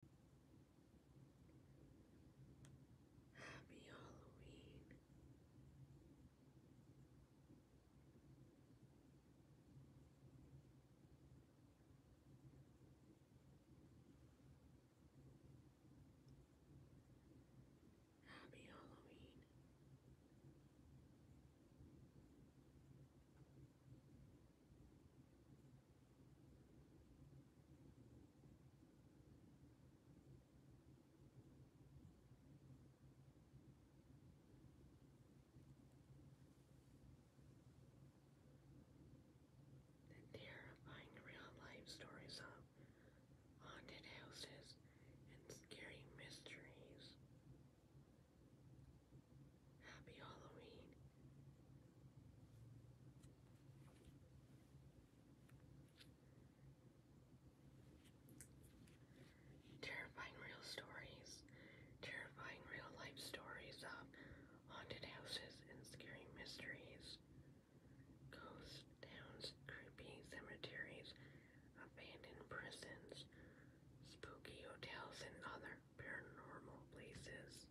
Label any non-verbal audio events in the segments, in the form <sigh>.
Happy Halloween. Happy Halloween. The terrifying real life stories of haunted houses and scary mysteries. Happy Halloween. Terrifying real stories, terrifying real life stories of haunted houses and scary mysteries, ghost towns, creepy cemeteries, abandoned prisons, spooky hotels, and other paranormal places.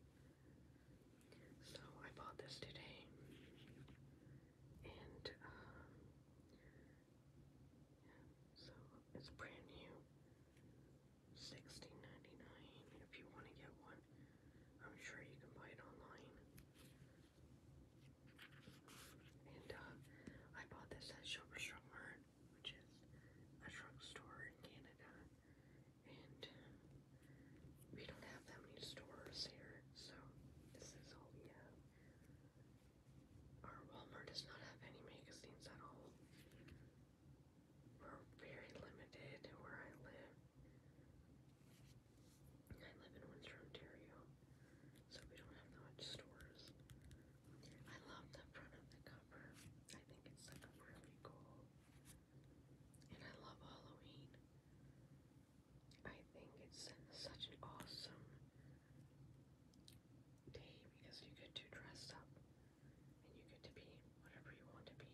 So I bought this today, and uh, so it's brand new, sixteen ninety nine. If you want to get one, I'm sure you can buy it online. And uh, I bought this at Shoppers which is a drugstore in Canada and we don't have that many stores here, so this is all we have. Our Walmart does not have any magazines at all. We're very limited where I live. I live in Windsor, Ontario, so we don't have that much stores. I love the front of the cover. I think it's like a really cool and I love Halloween. I think it's such an awesome day because you get to dress up and you get to be whatever you want to be.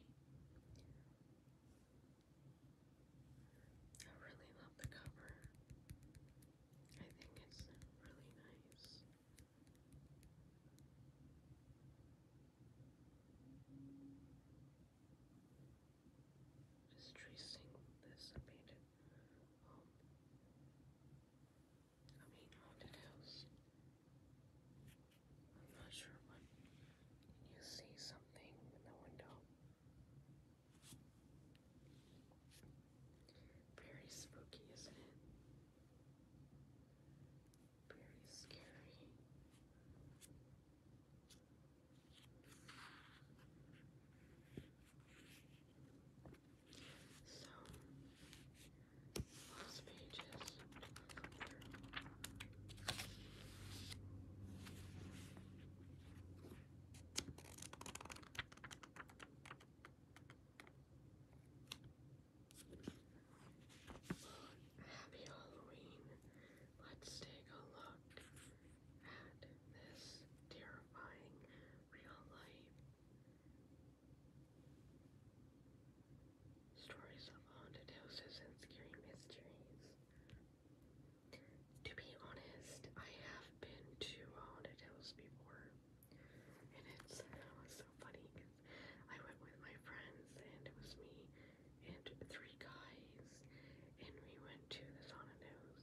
I really love the cover. I think it's really nice. Just tracing this and paint I mean, haunted house. I'm not sure, but you see something in the window. Very spooky, isn't it? very scary. So, those pages Happy Halloween. Let's take a look at this terrifying real life stories of haunted houses and scary mysteries. To be honest, I have been to haunted houses before, and it's <laughs> so funny. I went with my friends, and it was me and three guys, and we went to the sauna nose,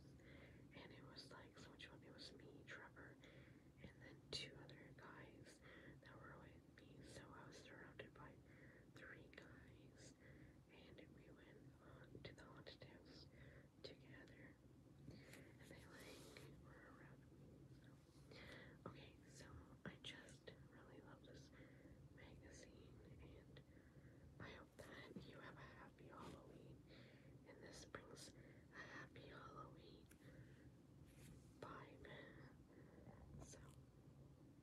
and it was like so much fun. It was me, Trevor, and then two other guys that were with me. So I was surrounded by three guys, and we went on to the haunted house together, and they like were around me. Okay, so I just really love this magazine, and I hope that you have a happy Halloween, and this brings a happy Halloween vibe. So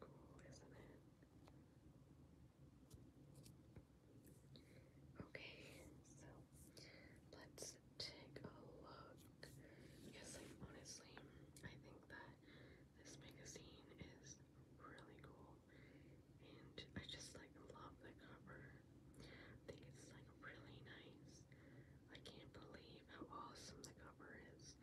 cool, isn't it? Okay, so let's take a look. Yes, like honestly, I think that this magazine is really cool. And I just like love the cover. I think it's like really nice. I can't believe how awesome the cover is.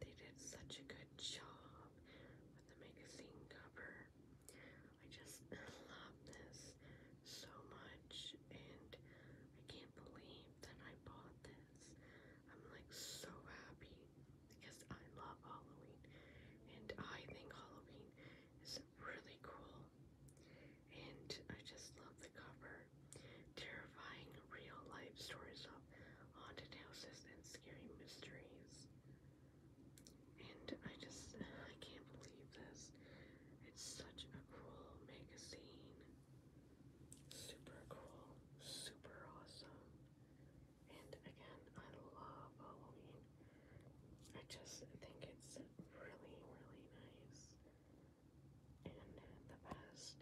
They did such a good job with the magazine cover. I just <laughs> love this so much and I can't believe that I bought this. I'm like so happy because I love Halloween and I think Halloween is really cool. And I just love the cover. Terrifying real life stories of haunted houses and scary mysteries. And I just, I can't believe this. It's such a cool magazine. Super cool, super awesome. And again, I love Halloween. I just think it's really, really nice. And the best.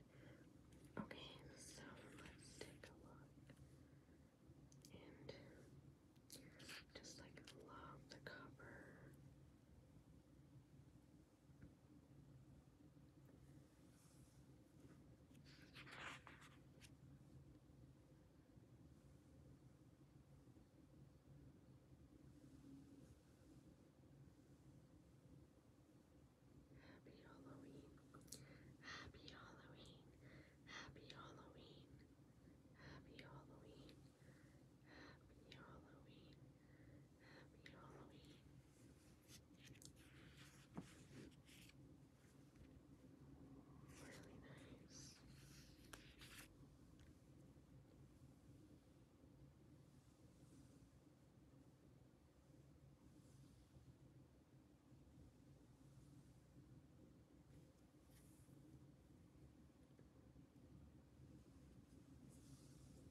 Okay, so let's take a look. And just like love the cover. Happy Halloween. Happy Halloween. Happy Halloween. Happy Halloween. Happy Halloween. Happy Halloween. Really nice.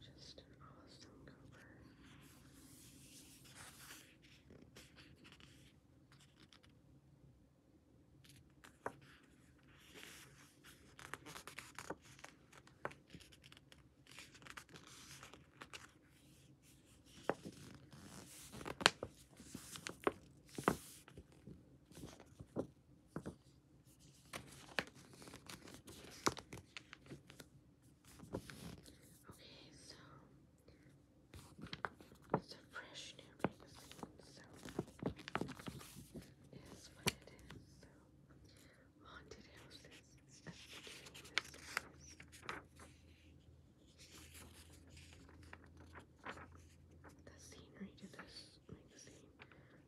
Just an awesome cover. Okay, so it's a fresh new magazine, so it is what it is. So haunted houses at The scenery to this magazine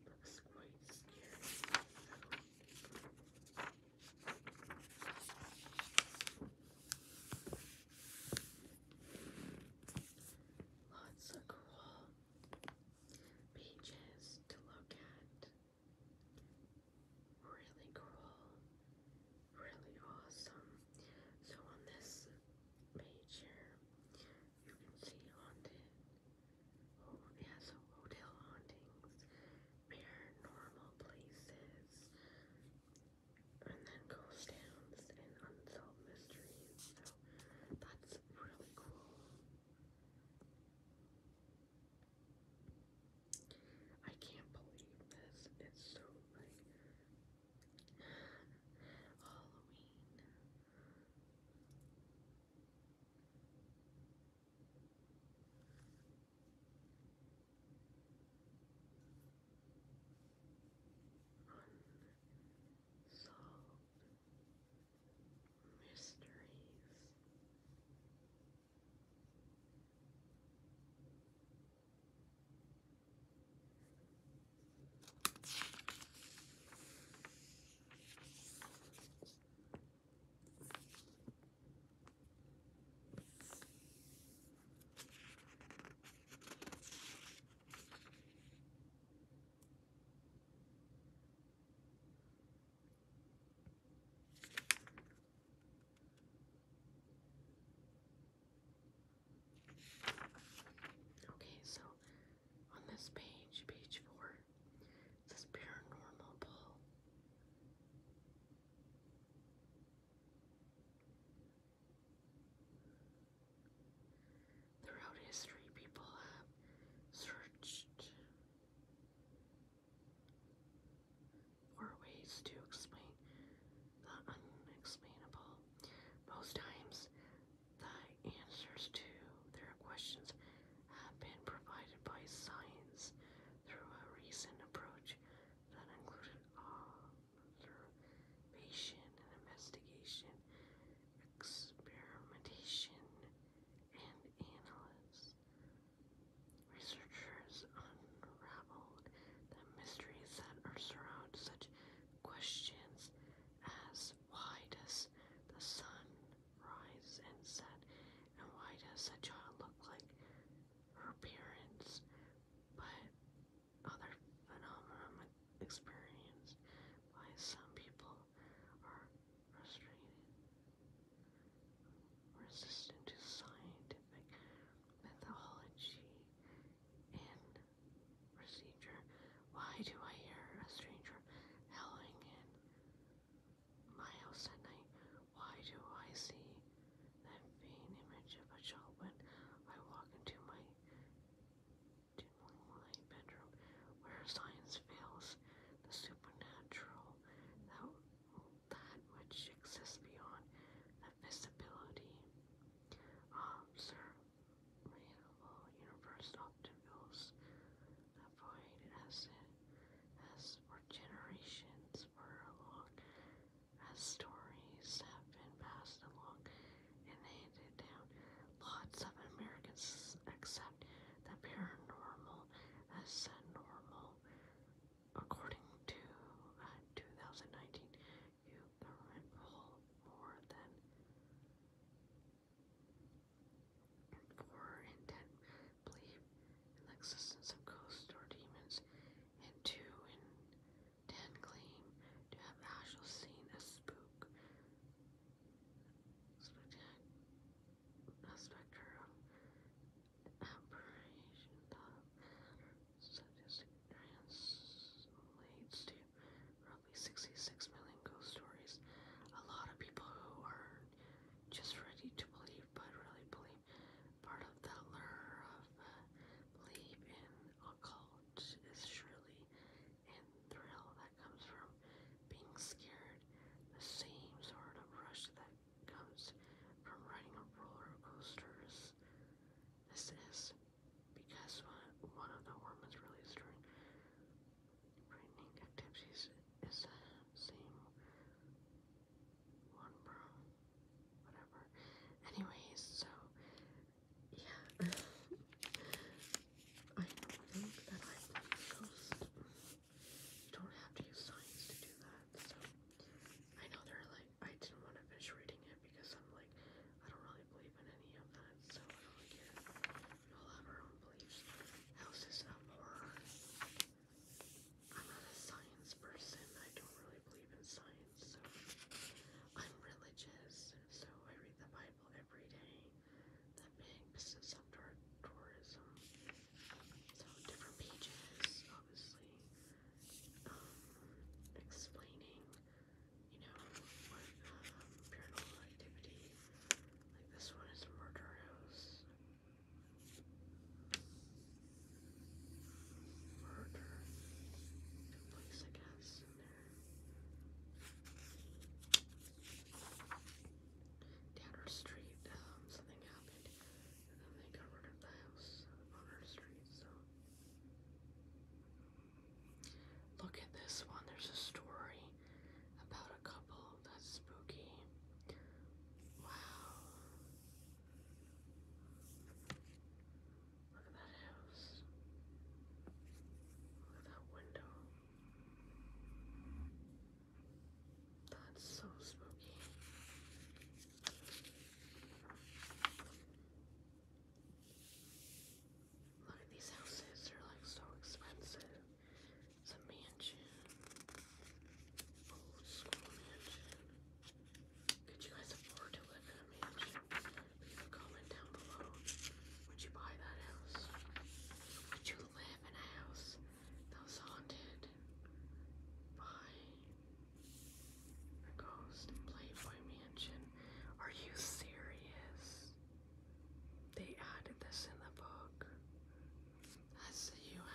Looks quite scary. Lots of cool beaches to look at. Really cool, really awesome. So on this page here, you can see on the Oh, yeah, hotel hauntings, paranormal places, and then ghost towns and unsolved mysteries. So that's really cool. I can't believe this. It's so like Halloween. Unsolved mysteries. Okay, so on this page, page four, this says paranormal Throughout history, people have searched for ways to explain the unexplainable. Most times, the answers to their questions have been provided by science through a recent approach that included observation and investigation, experimentation, and analysis. Researchers unraveled the mysteries that are surround such questions as why does the sun Rise and said, And why does a child look like her parents, but other phenomena experienced by some people are frustrated, resistant to scientific methodology and procedure? Why do I hear a stranger howling my house at night. Why do I see that vain image of a child when I walk into my dimly light bedroom where science fails? The supernatural, that, which exists beyond the visibility. Um, sir, universe often feels operated as, as for generations for long as stories have been passed along and handed down. Lots of Americans accept the paranormal as normal. According to a uh, 2019 youth government poll, more than for intent belief in the existence of ghosts or demons, and two in ten claim to have actually seen a spook, specter apparition. The translates to 66 million ghost stories. A lot of people who are just ready to believe, but really believe. Part of the lure of uh, belief in occult is surely and thrill that comes from being scared. The same sort of rush that comes from riding on roller coasters. This is because one, one of the hormones released during brightening activities is the same one, bro. Whatever. Anyways, so yeah, <laughs> I don't think that i You don't have to use science to do that. So I know they're like, I didn't want to finish reading it because I'm like, I don't really believe in any of that, so we all have our own beliefs. House is horror. I'm not a science person. I don't really believe in science, so I'm religious. So I read the Bible every day. The big business of tourism. So different pages, obviously, explaining, you know, what paranormal activity like this one is Murder House. Murder. place, I guess, Down our street, um, something happened, and then they got rid of the house on our street, so. Look at this one. There's a story about a couple that's spooky. Wow. Look at that house. Look at that window. That's so spooky. Look at these houses, they're like so expensive. It's mansion. Old school mansion. Could you guys afford to live in a mansion? Leave a comment down below. Would you buy that house? Would you live in a house that was haunted by a ghost and mansion? Are you serious? They added this in the book as a Hugh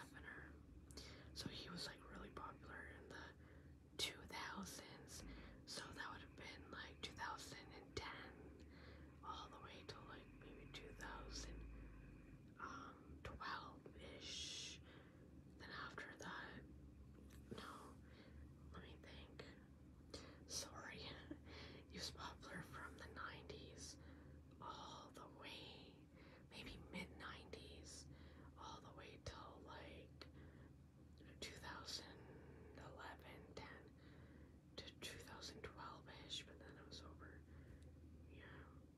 So he was like really popular in the 2000s. So that would have been like 2010 all the way to like maybe 2012-ish. Then after that, no, let me think. Sorry, he was popular from the 90s all the way, maybe mid 90s, all the way till like 2011, 10 to 2012 ish, but then it was over. Yeah,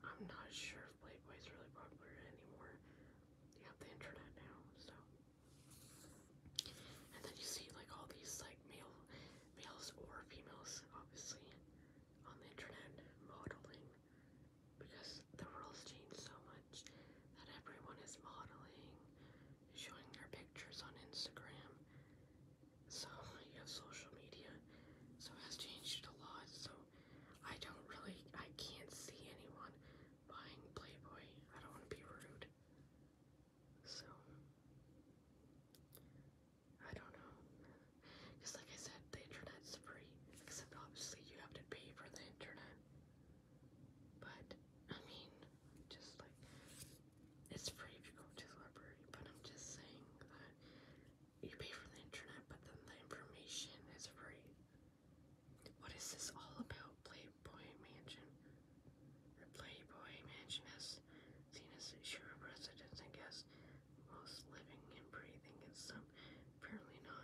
I'm not sure if is really popular anymore. You have the internet now, so. And then you see like all these like male males or females obviously on the internet modeling because the world's changed so much that everyone is modeling, showing their pictures on Instagram. So you have social media. So it has changed a lot. So I don't really I can't see anyone buying Playboy. I don't want to be rude. So, I don't know. Because, like I said, the internet's free, except obviously you have to pay for the internet. But, I mean, just like, it's free if you go to the library, but I'm just saying that you pay for the internet, but then the information is free. What is this all about, Playboy Mansion? The Playboy Mansion has seen as sure of residents and guests, most living and breathing, and some apparently not.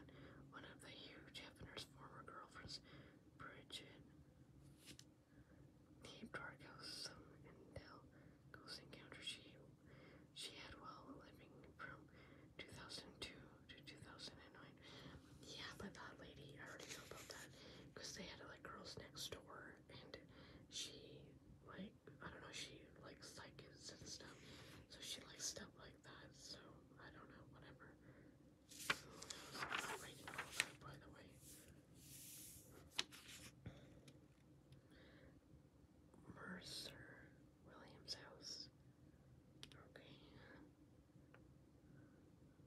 One of the huge Hefner's former girlfriends, Bridget, keep dark house some intel ghost encounter she she had while living from 2002 to 2009. Yeah, but that lady, I already know about that because they had like girls next door and she like I don't know she likes psychics and stuff so she likes stuff like that so I don't know whatever by the way Mercer Williams house okay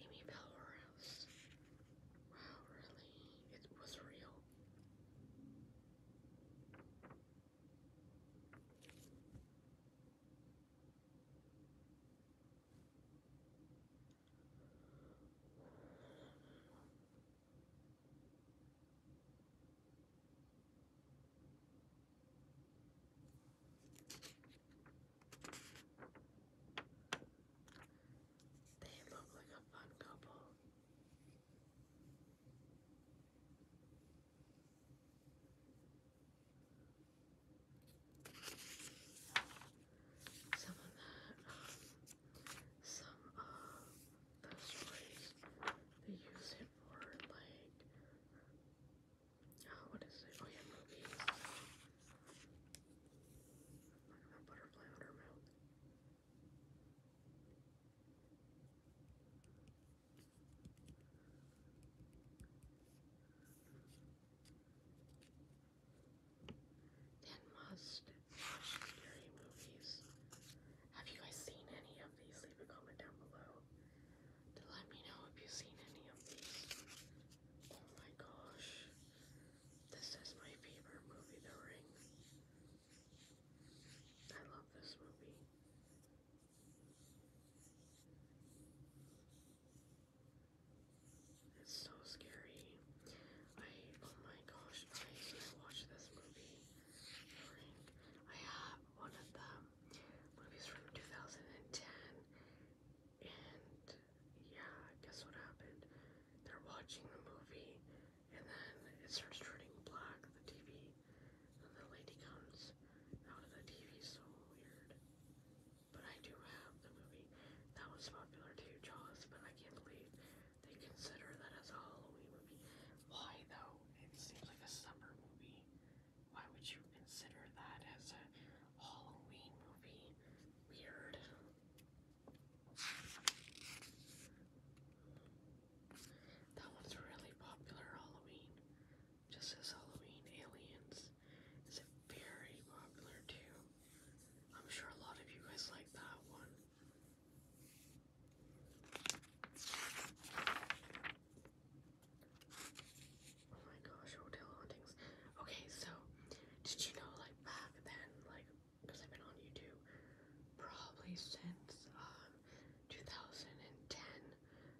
Amy Pellerhouse. Wow, really? It was real. They look like a fun couple. Some of some of the stories they use it for, like, oh, what is it? Oh, yeah, movies. Like a butterfly scary movies. Have you guys seen any of these? Leave a comment down below to let me know if you've seen any of these. Oh my gosh. This is my favorite movie, The Ring. I love this movie. It's so scary. I, oh my gosh, I watched this movie, I have one of the movies from 2010 and yeah, guess what happened? They're watching the movie, and then it starts turning black, the TV, and the lady comes out of the TV, so weird. But I do have the movie that was popular too, Jaws, but I can't believe they consider that as a Halloween movie. Why though? It seems like a summer movie. Why would you consider that as a Halloween movie? Weird. That one's really popular Halloween. Just as Halloween Aliens is very popular too. I'm sure a lot of you guys like that one. Oh my gosh, hotel hauntings. Okay, so did you know like back then, like because I've been on YouTube probably since um 2010.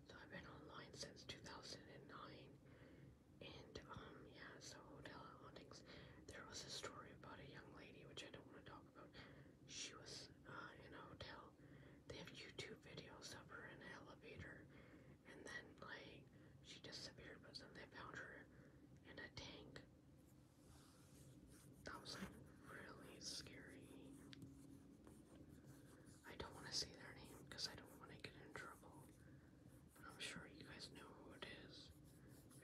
So I've been online since 2009. And um yeah, so hotel hauntings. There was a story about a young lady which I don't want to talk about. She was uh, in a hotel. They have YouTube videos of her in an elevator and then like she disappeared, but then they found her in a tank. That was like really scary. I don't want to say their name because I don't want to get in trouble. But I'm sure you guys know who it is.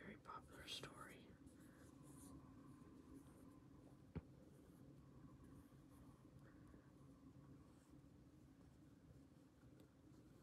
Very popular story.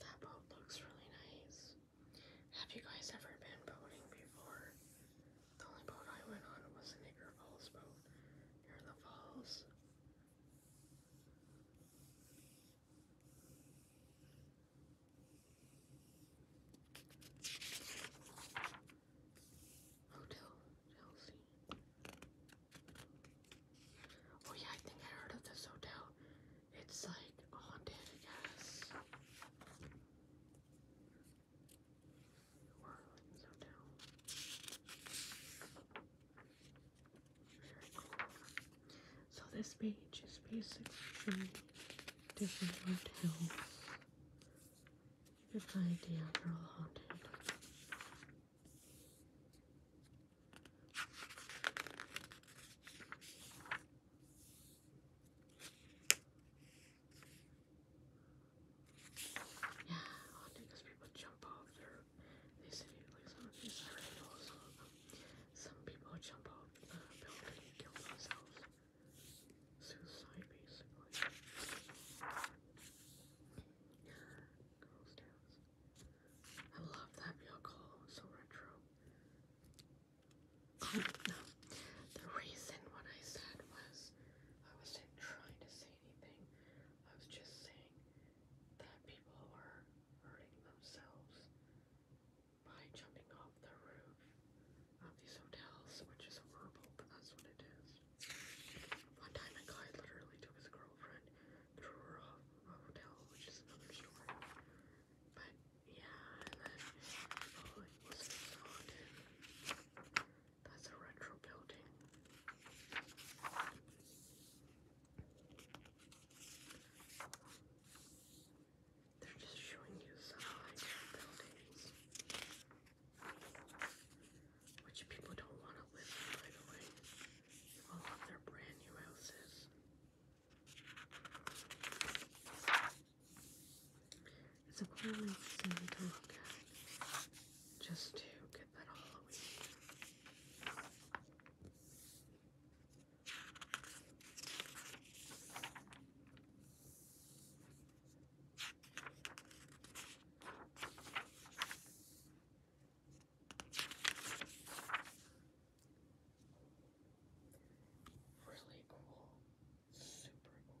that boat looks really nice. Have you guys ever been boating before? The only boat I went on was the Niagara Falls boat near the falls. Hotel Chelsea. Oh yeah, I think I heard of this hotel. It's like haunted, I guess. Orleans Hotel. Very cool. So this page is basically different hotels. Good idea, they're haunted. Yeah, well, because people jump off they say, like some of these are some people jump off the building kill themselves. Suicide, basically. Girls' towns. I love that vehicle, so retro. Um, no, the reason what I said was I wasn't trying to say anything. I was just saying that people are hurting themselves by jumping off the roof of these hotels, which is horrible, but that's what it is. One time a guy literally took his girlfriend the Royal Hotel, which is another story. But yeah, and then That's a retro building. They're just showing you some high like buildings which people don't want to live by the way. They all have their brand new houses. It's a cool thing to look at, just to get that Halloween. Really cool. Super cool.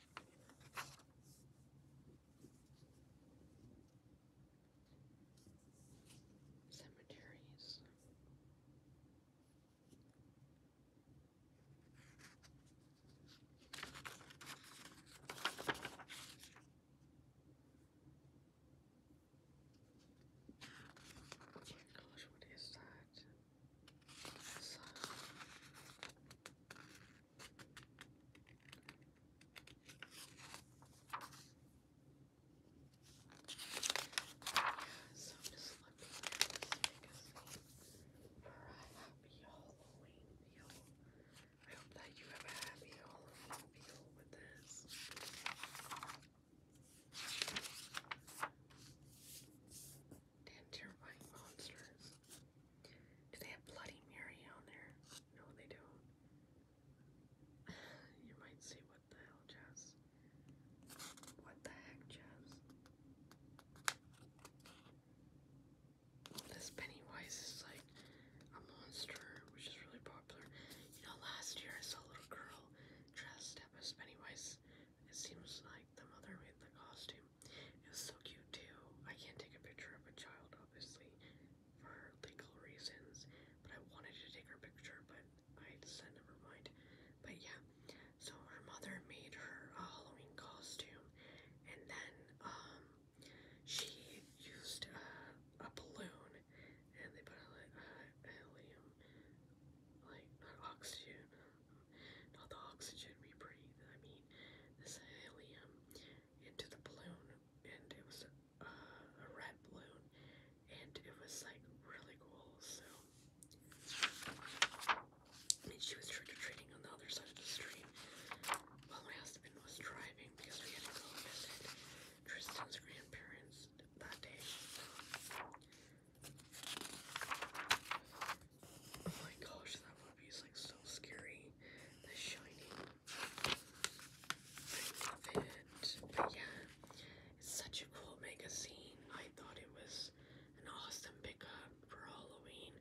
Cemeteries. Oh gosh, what is that? So. I'm just looking for a happy Halloween meal. I hope that you have a happy Halloween meal with this and terrifying monsters. Do they have Bloody Mary on there? No, they don't. <sighs> You might say, what the hell, Jess? What the heck, Jess? This Pennywise is like a monster, which is really popular. You know, last year I saw a little girl dressed as Pennywise. It seems like the mother made the costume it was so cute too. I can't take a picture of a child, obviously, for legal reasons. But I wanted to take her picture, but I said never mind. But yeah, so her mother made her a Halloween costume, and then um, she used uh, a balloon, and they put a, a helium, like not oxygen, not the oxygen we breathe. I mean, this helium into the balloon, and it was uh, a red balloon, and it was like really cool. So, and she was trick or treating on the other side of the street while my husband was driving because we had to go visit Tristan's grandparents that day. Oh my gosh, that movie is like so scary. The Shining. I love it. But yeah, it's such a cool magazine. I thought it was an awesome pickup for Halloween.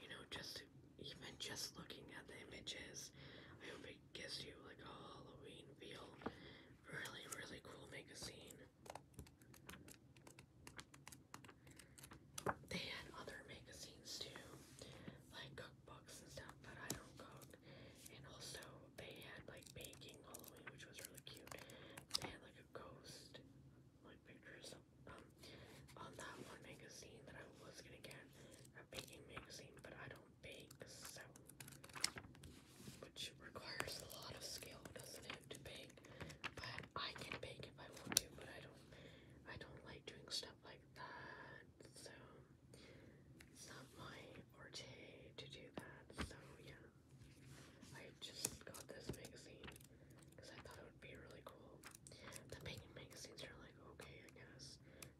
You know, just even just looking at the images, I hope it gives you like a Halloween feel. Really, really cool magazine. They had other magazines too, like cookbooks and stuff, but I don't cook. And also, they had like baking Halloween, which was really cute. They had like a ghost, like pictures um, on that one magazine that I was gonna get a baking magazine, but I don't bake, so which requires a lot of skill, doesn't it, to bake? But I can bake if I want to, but I don't I don't like doing stuff like that. So it's my forte to do that. So yeah. I just got this magazine because I thought it would be really cool. The baking magazines are like okay, I guess.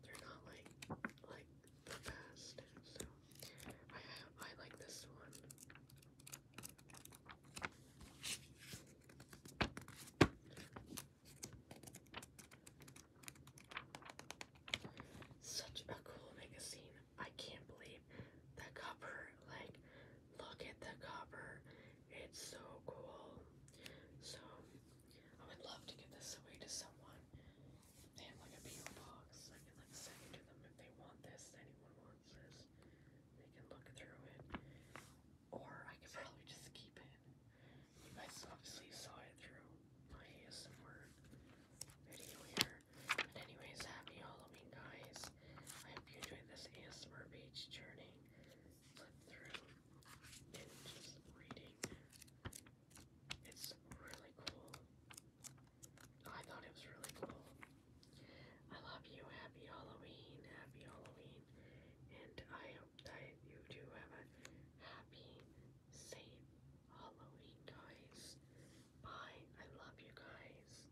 They're not like like the best. So I, I like this one. Such a cool magazine. I can't believe the cover. Like, look at the cover. It's so cool. So, I would love to give this away to someone. They have like a PO box. I can like send it to them if they want this. Anyone wants this. They can look through it. Or I could probably just keep it. You guys obviously saw it through my ASMR video here. But anyways, happy Halloween guys. I hope you enjoyed this ASMR page journey. Flip through and just reading. It's really cool. I thought it was really cool. I love you. Happy Halloween. Happy Halloween. And I hope that you do have a happy, safe Halloween, guys. Bye. I love you guys.